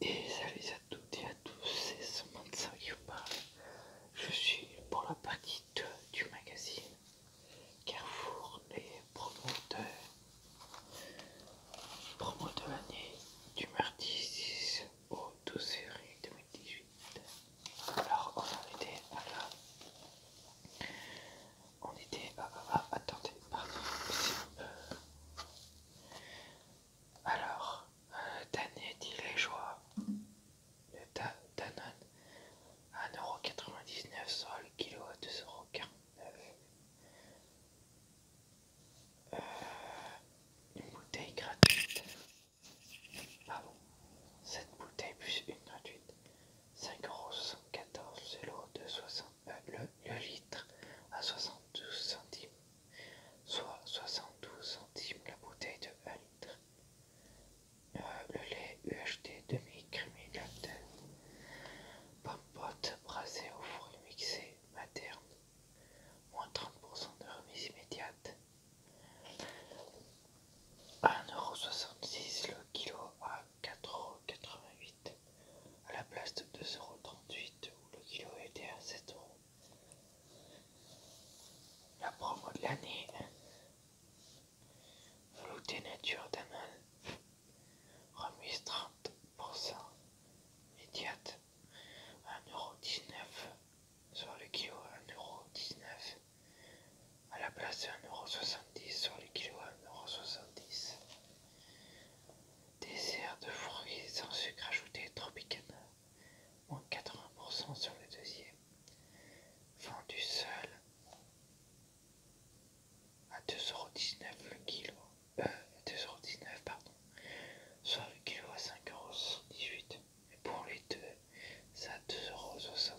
Et salut à toutes et à tous, c'est Samantha qui vous Je suis pour la partie 2 du magazine Carrefour les promoteurs. Promo de l'année du mardi 6 au 12 février 2018. Alors on en était à on était... à ah, Alors, Daniel dit les joies. Le 1,99€ sur kilo 2,49€. une bouteille gratuite. Ah bon, 7 bouteilles plus une gratuite. 5,74€ de 60 le, litre à 72 centimes, soit 72 centimes la bouteille de 1 litre. Euh, le lait UHT demi-crémé pomme pompote brassée au fruits mixé materne, moins 30% de remise immédiate, 1,66€ le kilo à 4,88€ à la place de 2,38€ où le kilo était à 7€. La promo de l'année Velouté Nature d'Anon remise 30% immédiate à 1,19€ sur le kilo à 1,19€ à la place de 1,70€ sur le kilo à 1,70€. Désert de fruits sans sucre ajouté Tropicana, moins 80% sur le deuxième. Vendu seul à 2,19€ le kilo. Euh, 2,19€ pardon. Soit le kilo à 5,78€. Et pour les deux, c'est à 2,62€.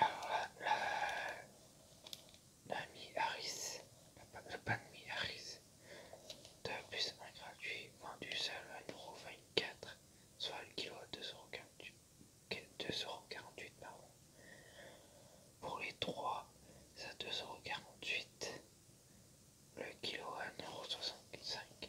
Alors la, Mi Harris, le pan Mi Harris, de plus moins gratuit, vendu seul à 1,24€, soit le kilo à 2,48€. Pour les 3, c'est à 2,48€, le kilo à 1,65€.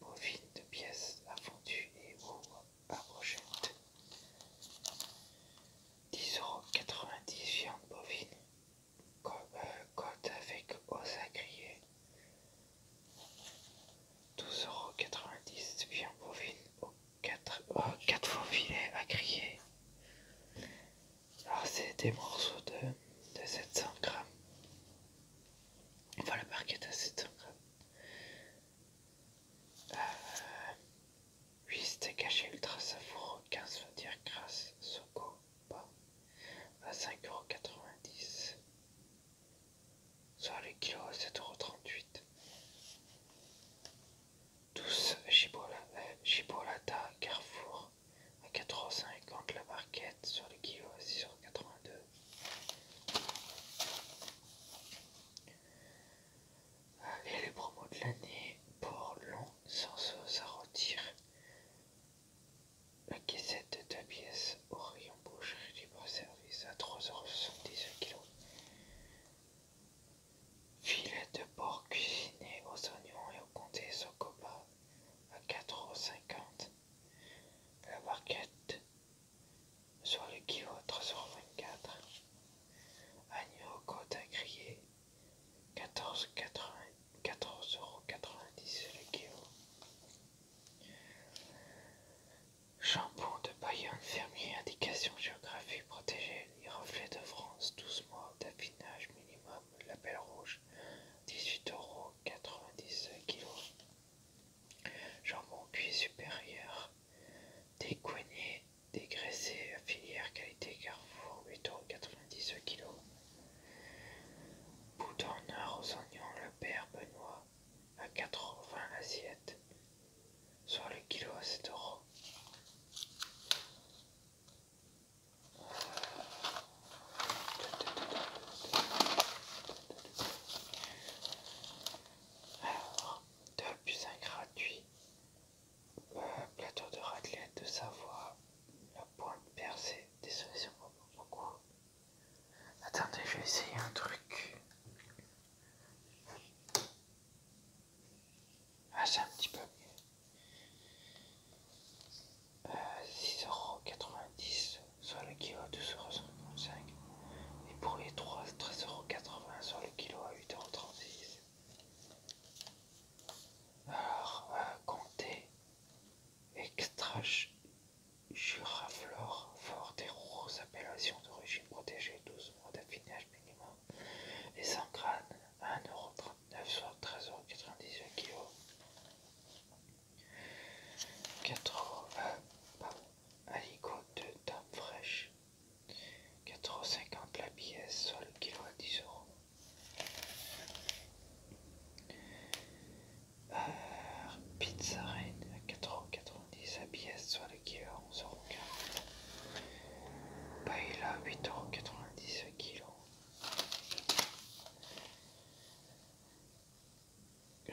bovine de pièces à fondu et aux à brochette. 10,90€ viande bovine, euh, côte avec os à griller. 12,90€ viande bovine aux 4, faux filets à griller. Alors ah, c'est des morceaux de, de 700 grammes. Voilà, le à 7 8 c'était caché ultra savoureux, 15 veut dire grâce, Soko, pas à 5,90€, soit les kilos à 7,38€. 12 Chibolata, Carrefour, à 450 la barquette sur le kilo à 6,82€. Et les promos de l'année, pour long sans sauce à rôtir. La caissette de 2 pièces au rayon boucherie libre service à 3,70€ kg. Filet de porc cuisiné aux oignons et au comté Socopa à 4,50 la barquette sur le kilo à agneau côte à griller 14,90 euros le kilo shampoing de Bayonne fermier indication géographique protégée les reflets de France 12 mois d'affinage minimum label rouge 18 euros 90 kg. Jambon cuit supérieur, décoigné, dégraissé, filière qualité Carrefour, 90 kg. bouton en aux oignons, le père Benoît, à 80 assiettes, soit le kilo à 7 euros. Alors, 2 plus 1 gratuit. Euh, plateau de raclette de Savoie. La pointe percée. Désolé si on voit beaucoup. Attendez, je vais essayer un truc. Ah, c'est un petit peu mieux. 6,90€, sur le kilo à 12,55€, et pour les 3, 13,80€, sur le kilo à 8,36€. Alors, euh, comptez extra Juraflore fort et rose, appellation d'origine protégée, 12 mois d'affinage minimum. sans 100 à 1,30€. 9 soit 13,98 kg. 80 pardon, de dame fraîche. 4,50 la pièce, soit le kilo à 10 euros. Euh, pizza 4,90€ la pièce, soit le kilo à 11,40€. Paella 8,90€ kilo. Euh,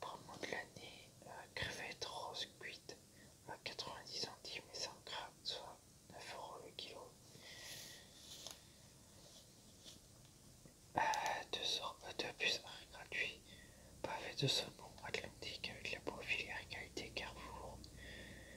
Prends moment de l'année, euh, crevette crevettes cuite à 90 centimes et 100 grammes, soit 9 euros le kilo. Euh, deux, sort, puces gratuits, pavé de saumon atlantique avec la profilière qualité Carrefour.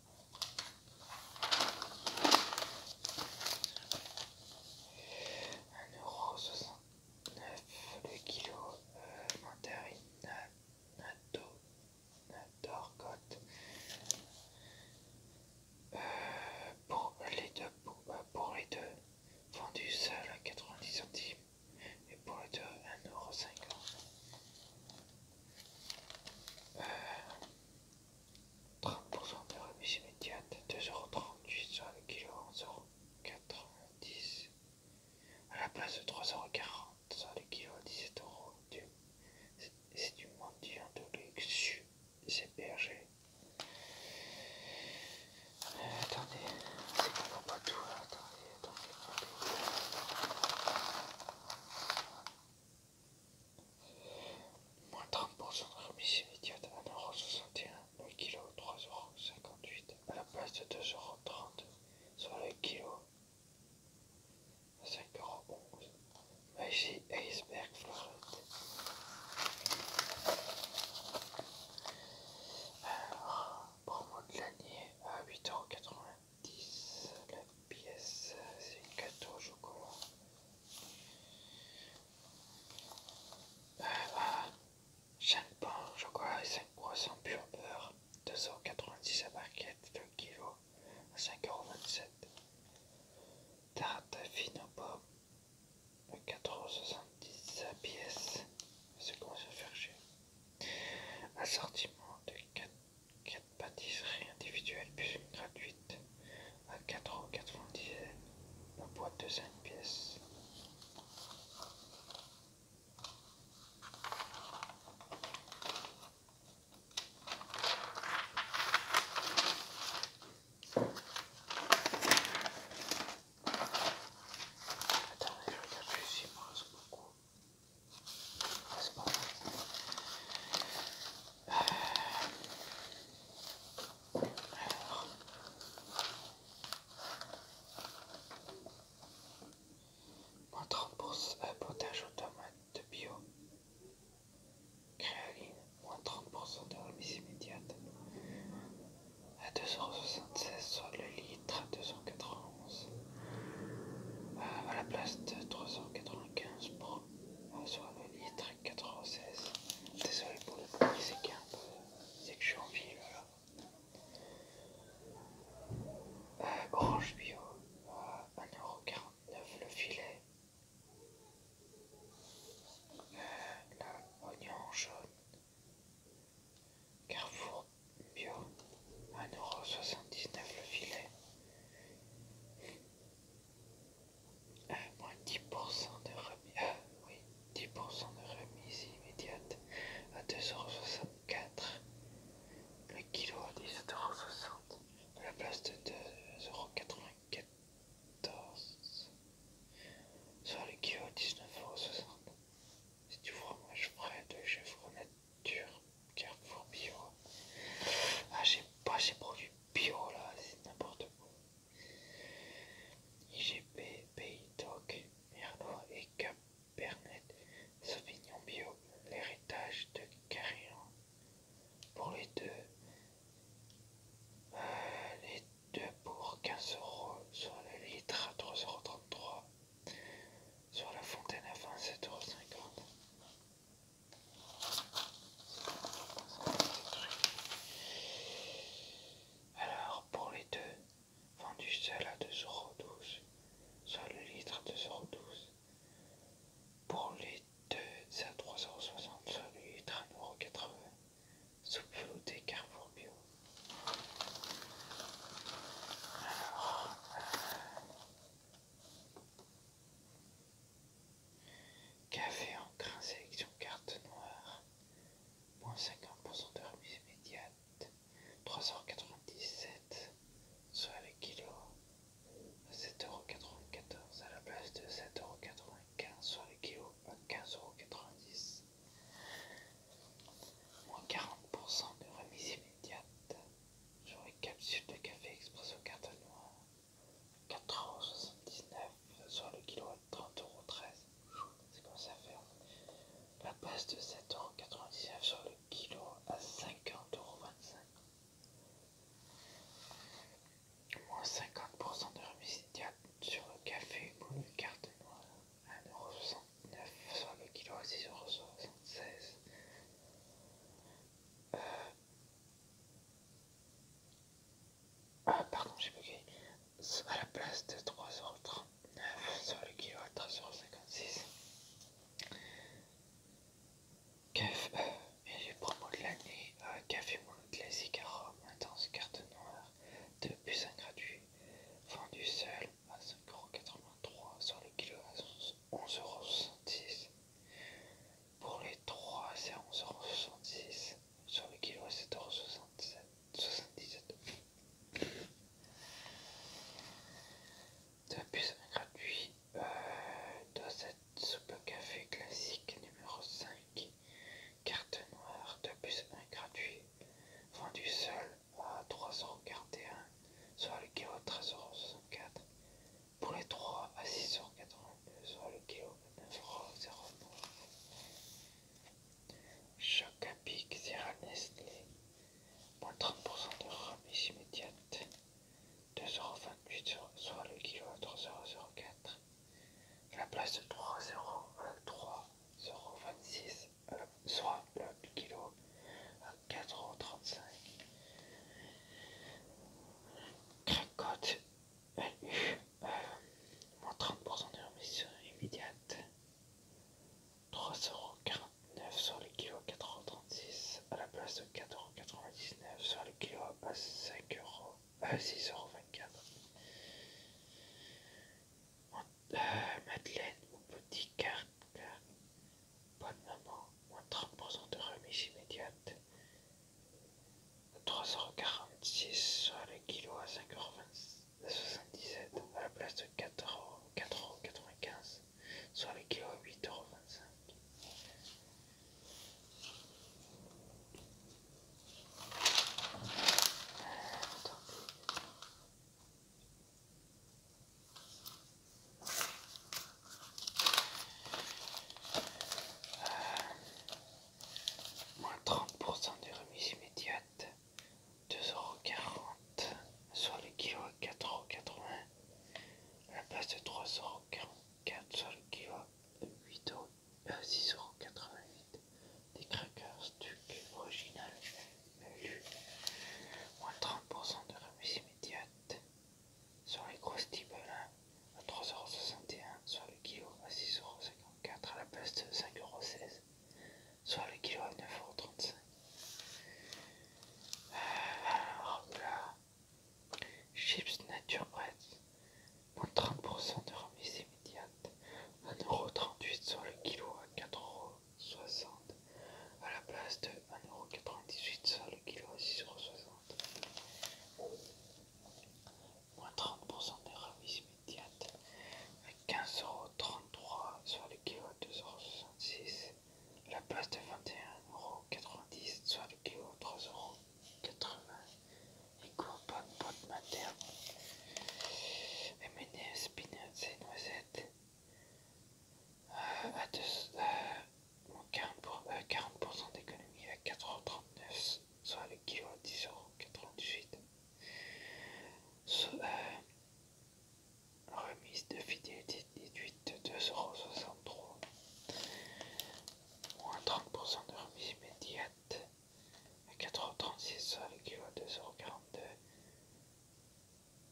1,69€ le kilo euh, mandarine nato euh, pour les deux pour, euh, pour les deux vendu seul à 90 centimes et pour les deux 1,50€. 30% de remise immédiate, 2,38€ sur le kilo, 11,90€ à la place de 3,40€ sur le kilo, 17€ C'est du mendiant de luxe, c'est berger. Euh, attendez, c'est pas tout, hein, attendez, attendez, attendez. Moins 30% de remise immédiate, 1,61€, le kilo 3,58€ à la place de 2,30€, sur le kilo 5,11€. Magie iceberg fleurette. Alors, promo de l'année à 8,80€. 10. La pièce, c'est une chocolat. 5 au chocolat et 5 croissants pur beurre. 2,90€ à barquette, 2 kg à 5,27€. Tarte fine aux pommes, 4,70€ la pièce. C'est comment se faire chier. Assortiment de 4 4 pâtisseries individuelles plus une gratuite à 4,90€ la boîte de 5 pièces. Attendez, je regarde ici, il me reste beaucoup. Alors... Moins 30 euh, potage automate de bio. créoline moins 30% de remise immédiate. À 276 sur le litre à 280. Euh, à la place de 395 pour soit le litre 96. Désolé pour le prix, c'est que je suis en ville là. Euh, orange bio, 1,49€ euh, le filet. Euh, oignon jaune. Carrefour Bio, 1,79€ le filet. à euh, moins 10% de remise. 10% euh, de remise immédiate à 2,64€. Le kilo à 17,60€ à la place de 2,94€. Soit le kilo à 19,60€. vois du fromage frais de chevronette dur, Carrefour bio. Ah, j'ai pas ces produits bio là, c'est n'importe quoi. IGP, Pays Doc, Merlot et Cabernet Sauvignon bio, l'héritage de Carillon. Pour les deux, euh, les deux pour 15 euros sur le litre à 3,33 euros sur la fontaine à 27,50€. Alors pour les deux, vendu seul à 2,12€, soit le litre à 2,12€. Pour les deux à 3,60€, soit le litre à 1,80€. Soupe d'écart pour Bio. Euh, Café en grain sélection carte noire. Moins 50% de remise immédiate. 397, soit les kilos. 7,94€ à la place de 7,95€, soit les kilos à 15,90€. Moins 40% de remise immédiate sur les capsules de café exprès au carton noir, 4,79€ sur le kilo à 30,13€. C'est comme ça faire. La passe de 7,99€ sur le kilo à 50,25€. Moins 50% de remise sur le café ou le carte noire. 1,69€, soit le kilo à 6,76€. pardon, j'ai bugué. À la place de 3,39€, soit le kilo à 13,56€. Café, euh, et les promos de l'année, euh, café mono classique à Rome, intense carte noire, de plus 1 gratuit, vendu seul à 5,83€ sur le kilo à 11,70€. Pour les 3, c'est 11,70€ sur le kilo à 7,77€. Depuis un gratuit euh, cette soupe café classique numéro 5, carte noire, à un gratuit, vendu seul à 341 soit le à 13,64€, pour les 3 à 6,82€ soit le kilo à 9,09€. c'est Sierra Nestlé, moins 30% de remise immédiate, 2,28€, soit le kilo à 3,04€. La place de 3,0 à soit le kilo à 4,35€. Cracotte value euh, moins 30% de remise immédiate. 3,49€ sur les kilos à 4,36€ à la place de 4,99€ sur les kilo à 5€, 6,24€. Euh, Madeleine, mon petit carte, Bonne maman, moins 30% de remise immédiate. 3,46€ sur les kilo à 5,77€ à la place de 4,95€ sur les kilos à 8,25€. euros. Euh, moins 30% des remises immédiates, 2,40€, sur le kilo, à 4,80€, à la place de 3,44€, sur le kilo à euh, des crackers original moins 30% de remise immédiate sur les gros Stibelins hein, à 3,61€, sur le kilo à 6,54€ à la place de 5,16€, soit le kilo à 9,35€. alors chips nature bread, moins 30% de remise immédiate, 1,38€ sur le kilo à 4,00€, 60, à la place de 1,98€ sur le kilo 6,60€. Moins 30% des remise immédiate à 15,33€ sur le kilo 2,66€ à la place de 21,90€ sur le kilo 3,80€ et quoi, pas de materne M&M's, peanuts et noisettes à 40%, euh, euh, d'économie à 4,39€, soit le kilo à 10,98€. Euh, remise de fidélité déduite de 2,63€. Moins 30% de remise immédiate à 36 soit kilo à 42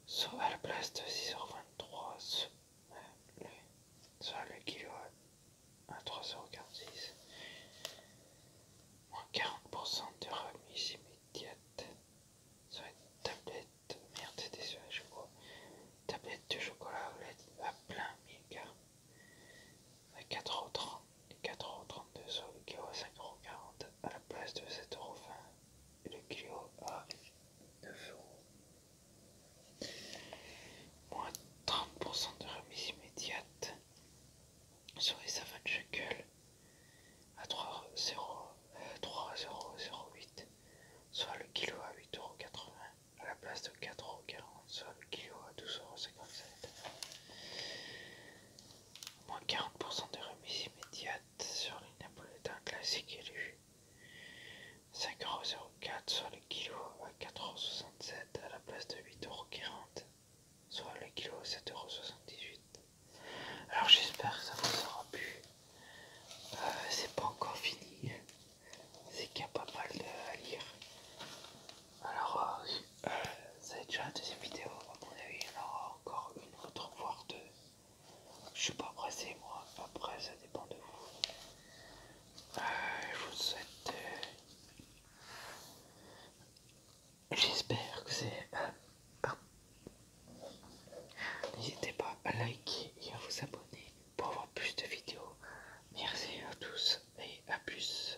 soit à la place de 6h23 soit kilo à 3,46, moins 40% de remise immédiate soit tablette, merde sur tablette de chocolat à plein mégas à 4,30€ et 4,32€ le kilo à 5,40€ à la place de 7,20€ et le kilo à 9€. Moins 30% de remise immédiate sur les savants de 3 à 3,008€, euh, soit le kilo à 8,80€ à la place de 4,40€, soit le kilo à 12,57€ moins 40% de remise immédiate sur les napolitains classiques élus. 5,04€ soit le kilo à 4,67€ à la place de 8,40€, soit le kilo à 7,78€. Alors j'espère que ça vous aura plu. Euh, c'est pas encore fini, c'est qu'il y a pas mal à lire. Alors, c'est euh, déjà la deuxième vidéo, à mon avis, il y en aura encore une autre, voire deux. Je suis pas pressé, moi, après, ça dépend de vous. Euh, je vous souhaite. Euh, j'espère que c'est. N'hésitez pas à liker et à vous abonner pour avoir plus de vidéos. Merci à tous et à plus.